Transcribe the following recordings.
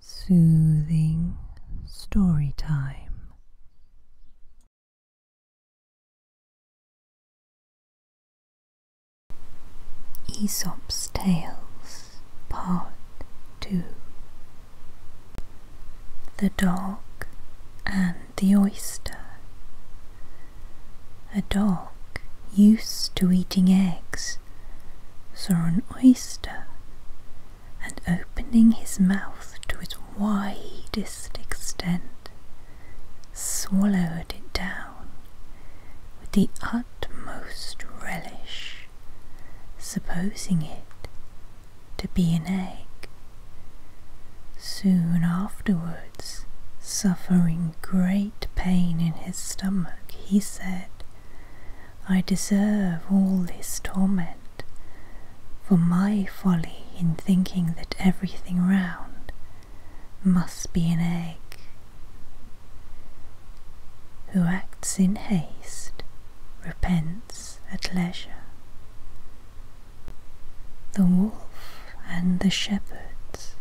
Soothing story time. Aesop's Tales, Part 2 The Dog and the Oyster. A dog, used to eating eggs, saw an oyster, and opening his mouth to its widest extent, swallowed it down with the utmost relish, supposing it to be an egg. Soon afterwards, suffering great pain in his stomach, he said, I deserve all this torment for my folly in thinking that everything round must be an egg. Who acts in haste repents at leisure. The wolf and the shepherds.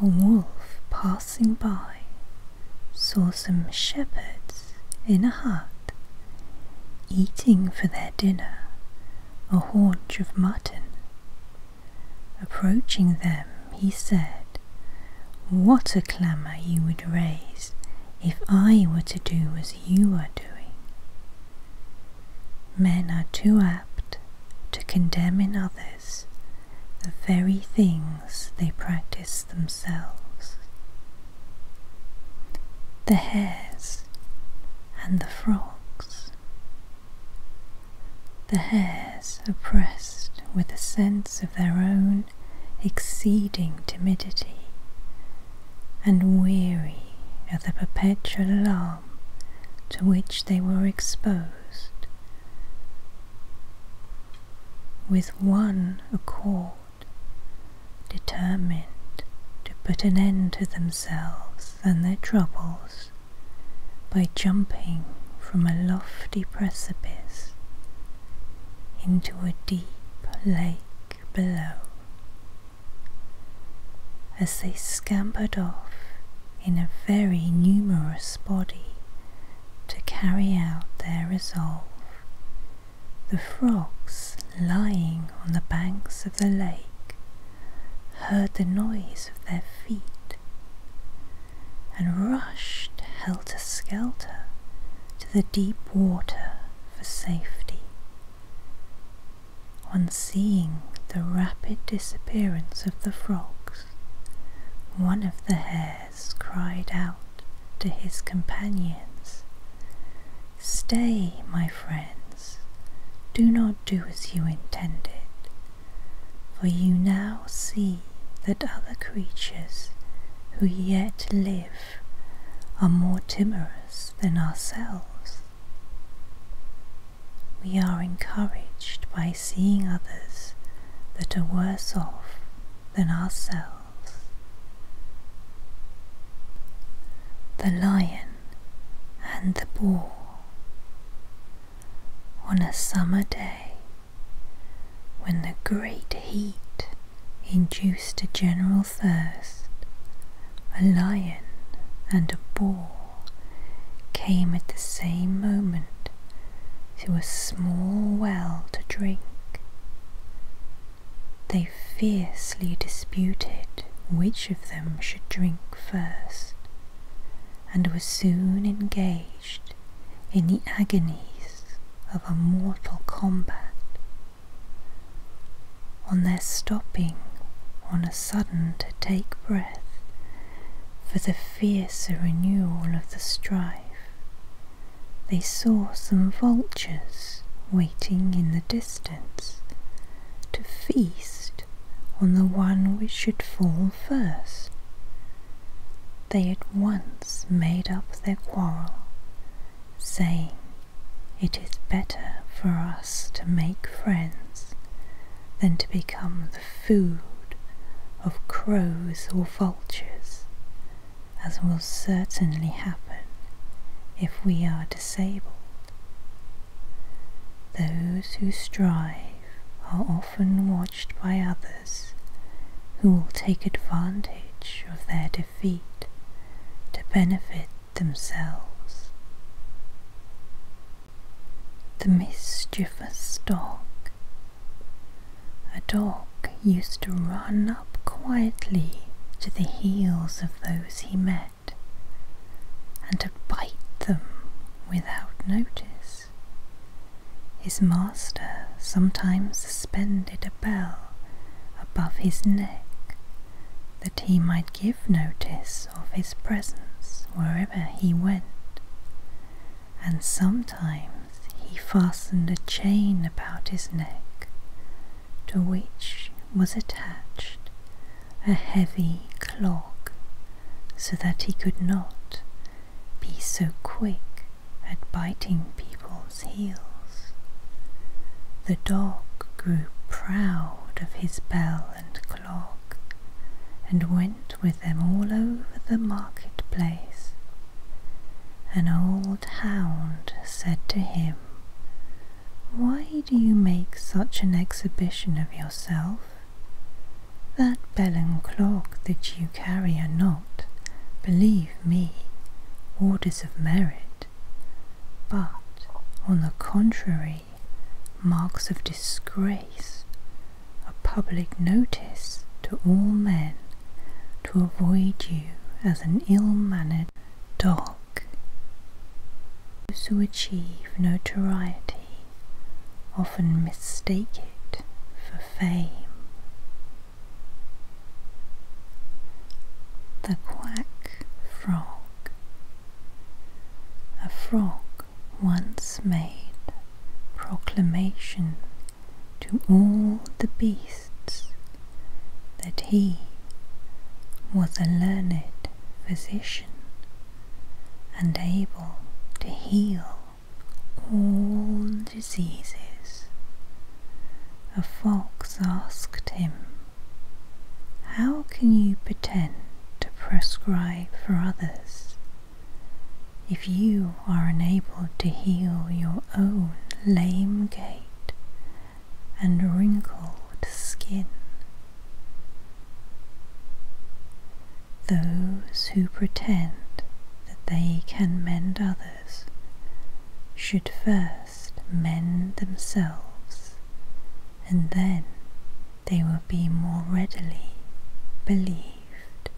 A wolf passed passing by saw some shepherds in a hut eating for their dinner a haunch of mutton. Approaching them, he said, What a clamour you would raise if I were to do as you are doing. Men are too apt to condemn in others the very things they practice themselves. The hares and the frogs. The hares, oppressed with a sense of their own exceeding timidity, and weary of the perpetual alarm to which they were exposed, with one accord determined to put an end to themselves and their troubles by jumping from a lofty precipice into a deep lake below. As they scampered off in a very numerous body to carry out their resolve. The frogs lying on the banks of the lake heard the noise of their feet and rushed helter skelter to the deep water for safety. On seeing the rapid disappearance of the frogs, one of the hares cried out to his companions, Stay, my friends, do not do as you intended, for you now see that other creatures who yet live are more timorous than ourselves. We are encouraged by seeing others that are worse off than ourselves. The Lion and the Boar. On a summer day, when the great heat induced a general thirst, a lion and a boar came at the same moment to a small well to drink. They fiercely disputed which of them should drink first, and were soon engaged in the agonies of a mortal combat. On their stopping on a sudden to take breath for the fiercer renewal of the strife, they saw some vultures waiting in the distance to feast on the one which should fall first. They at once made up their quarrel, saying, It is better for us to make friends than to become the food of crows or vultures as will certainly happen if we are disabled. Those who strive are often watched by others who will take advantage of their defeat to benefit themselves. The mischievous dog a dog used to run up quietly to the heels of those he met and to bite them without notice. His master sometimes suspended a bell above his neck that he might give notice of his presence wherever he went, and sometimes he fastened a chain about his neck, to which was attached a heavy clog, so that he could not be so quick at biting people's heels. The dog grew proud of his bell and clog, and went with them all over the marketplace. An old hound said to him, Why do you make such an exhibition of yourself? That bell and clock that you carry are not, believe me, orders of merit, but, on the contrary, marks of disgrace, a public notice to all men to avoid you as an ill-mannered dog. Those who achieve notoriety often mistake it for fame. The Quack Frog A frog once made proclamation to all the beasts that he was a learned physician and able to heal all diseases. A fox asked him, How can you pretend to prescribe for others if you are enabled to heal your own lame gait and wrinkled skin. Those who pretend that they can mend others should first mend themselves, and then they will be more readily believed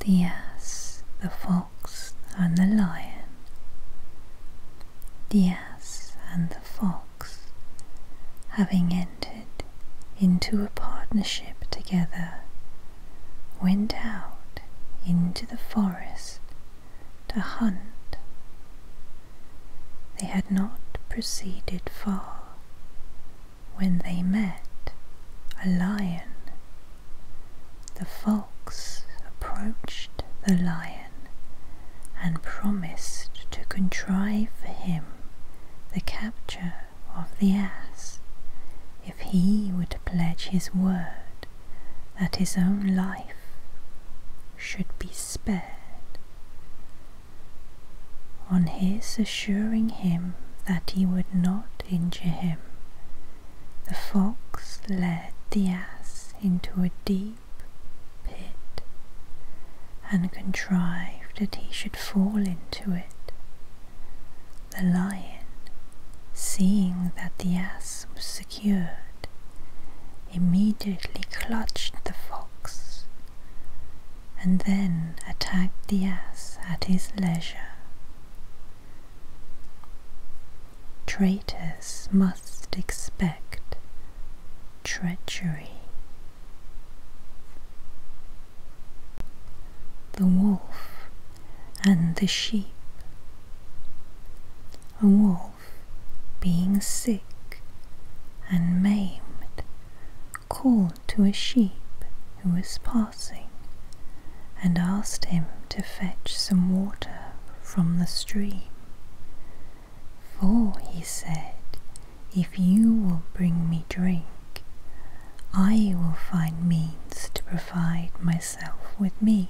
the ass, the fox, and the lion. The ass and the fox, having entered into a partnership together, went out into the forest to hunt. They had not proceeded far when they met a lion. The fox approached the lion and promised to contrive for him the capture of the ass if he would pledge his word that his own life should be spared. On his assuring him that he would not injure him. The fox led the ass into a deep pit and contrived that he should fall into it. The lion, seeing that the ass was secured, immediately clutched the fox and then attacked the ass at his leisure. Traitors must expect treachery. The wolf and the sheep. A wolf being sick and maimed called to a sheep who was passing and asked him to fetch some water from the stream. For, he said, if you will bring me drink, I will find means to provide myself with meat.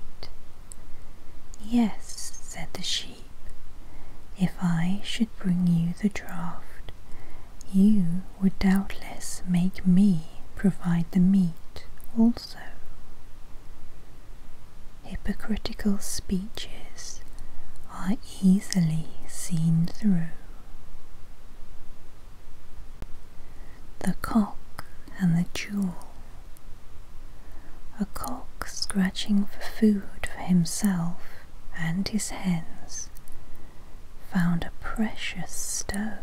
Yes, said the sheep, if I should bring you the draught you would doubtless make me provide the meat also. Hypocritical speeches are easily seen through. The cock and the jewel. A cock scratching for food for himself and his hens found a precious stone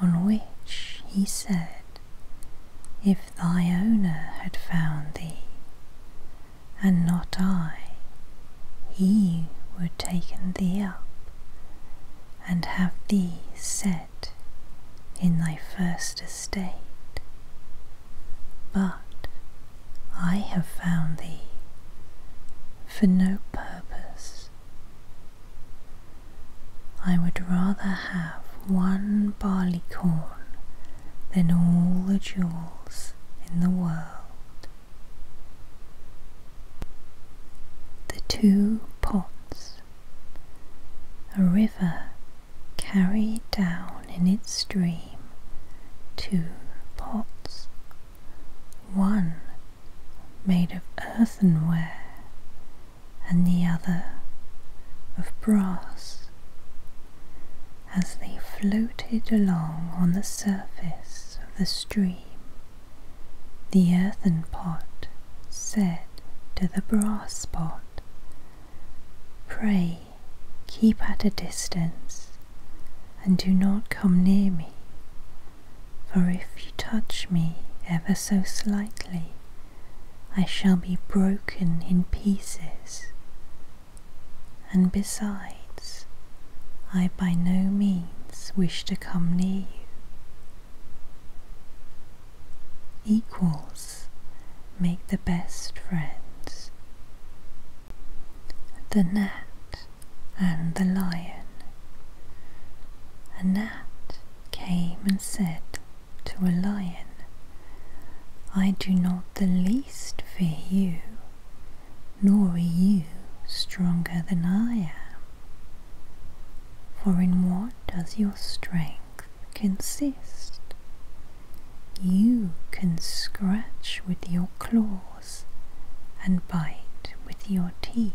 on which he said, If thy owner had found thee, and not I, he would taken thee up and have thee set in thy first estate. But I have found thee for no purpose I would rather have one barleycorn than all the jewels in the world. The two pots, a river carried down in its stream two pots, one made of earthenware and the other of brass as they floated along on the surface of the stream. The earthen pot said to the brass pot, Pray keep at a distance and do not come near me, for if you touch me ever so slightly, I shall be broken in pieces. And besides, I by no means wish to come near you. Equals make the best friends. The gnat and the lion. A gnat came and said to a lion, I do not the least fear you, nor are you stronger than I am. For in what does your strength consist? You can scratch with your claw." and bite with your teeth.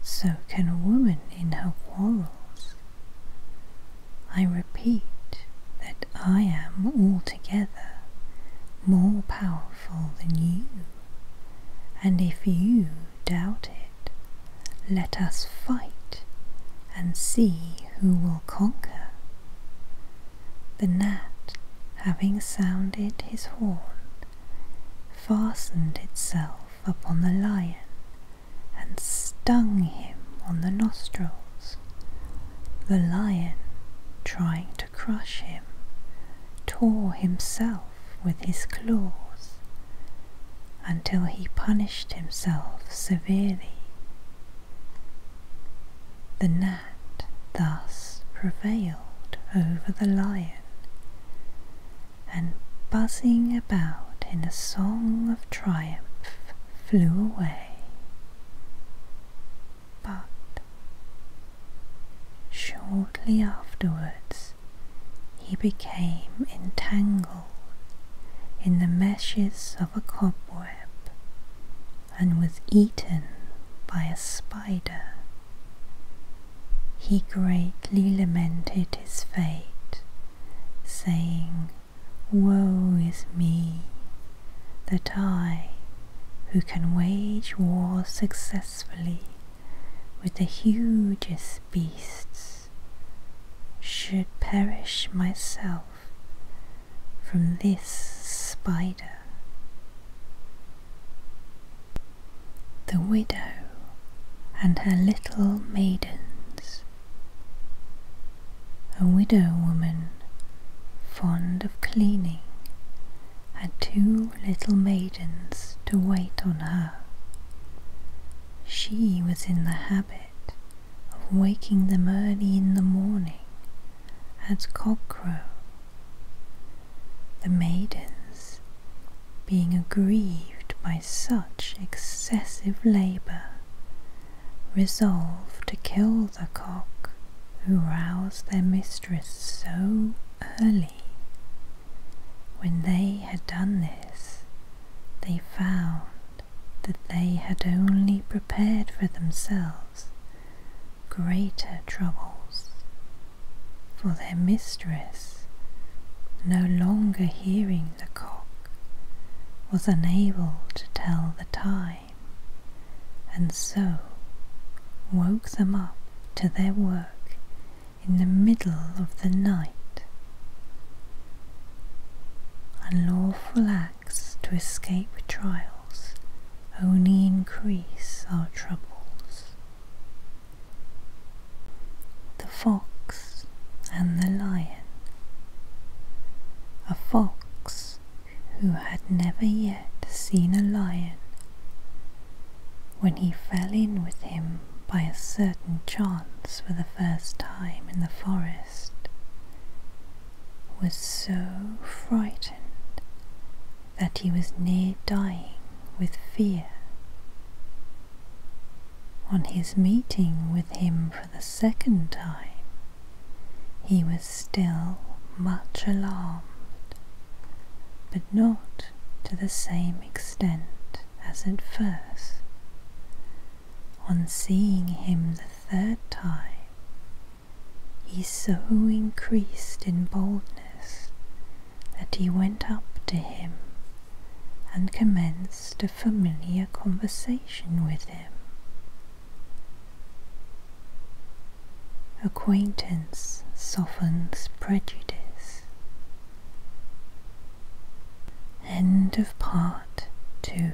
So can a woman in her quarrels. I repeat that I am altogether more powerful than you, and if you doubt it, let us fight and see who will conquer. The gnat, having sounded his horn, fastened itself upon the lion and stung him on the nostrils. The lion, trying to crush him, tore himself with his claws until he punished himself severely. The thus prevailed over the lion, and buzzing about in a song of triumph flew away. But shortly afterwards he became entangled in the meshes of a cobweb and was eaten by a spider he greatly lamented his fate, saying, Woe is me, that I, who can wage war successfully with the hugest beasts, should perish myself from this spider. The widow and her little maidens. A widow woman, fond of cleaning, had two little maidens to wait on her. She was in the habit of waking them early in the morning at cockcrow the maidens, being aggrieved by such excessive labour, resolved to kill the cock who roused their mistress so early. When they had done this, they found that they had only prepared for themselves greater troubles, for their mistress, no longer hearing the cock, was unable to tell the time, and so woke them up to their work in the middle of the night. Unlawful acts to escape trials only increase our troubles. The Fox and the Lion. A fox who had never yet seen a lion, when he fell in with him by a certain chance for the first time in the forest, was so frightened that he was near dying with fear. On his meeting with him for the second time, he was still much alarmed, but not to the same extent as at first. On seeing him the third time, he so increased in boldness that he went up to him and commenced a familiar conversation with him. Acquaintance softens prejudice. End of part two.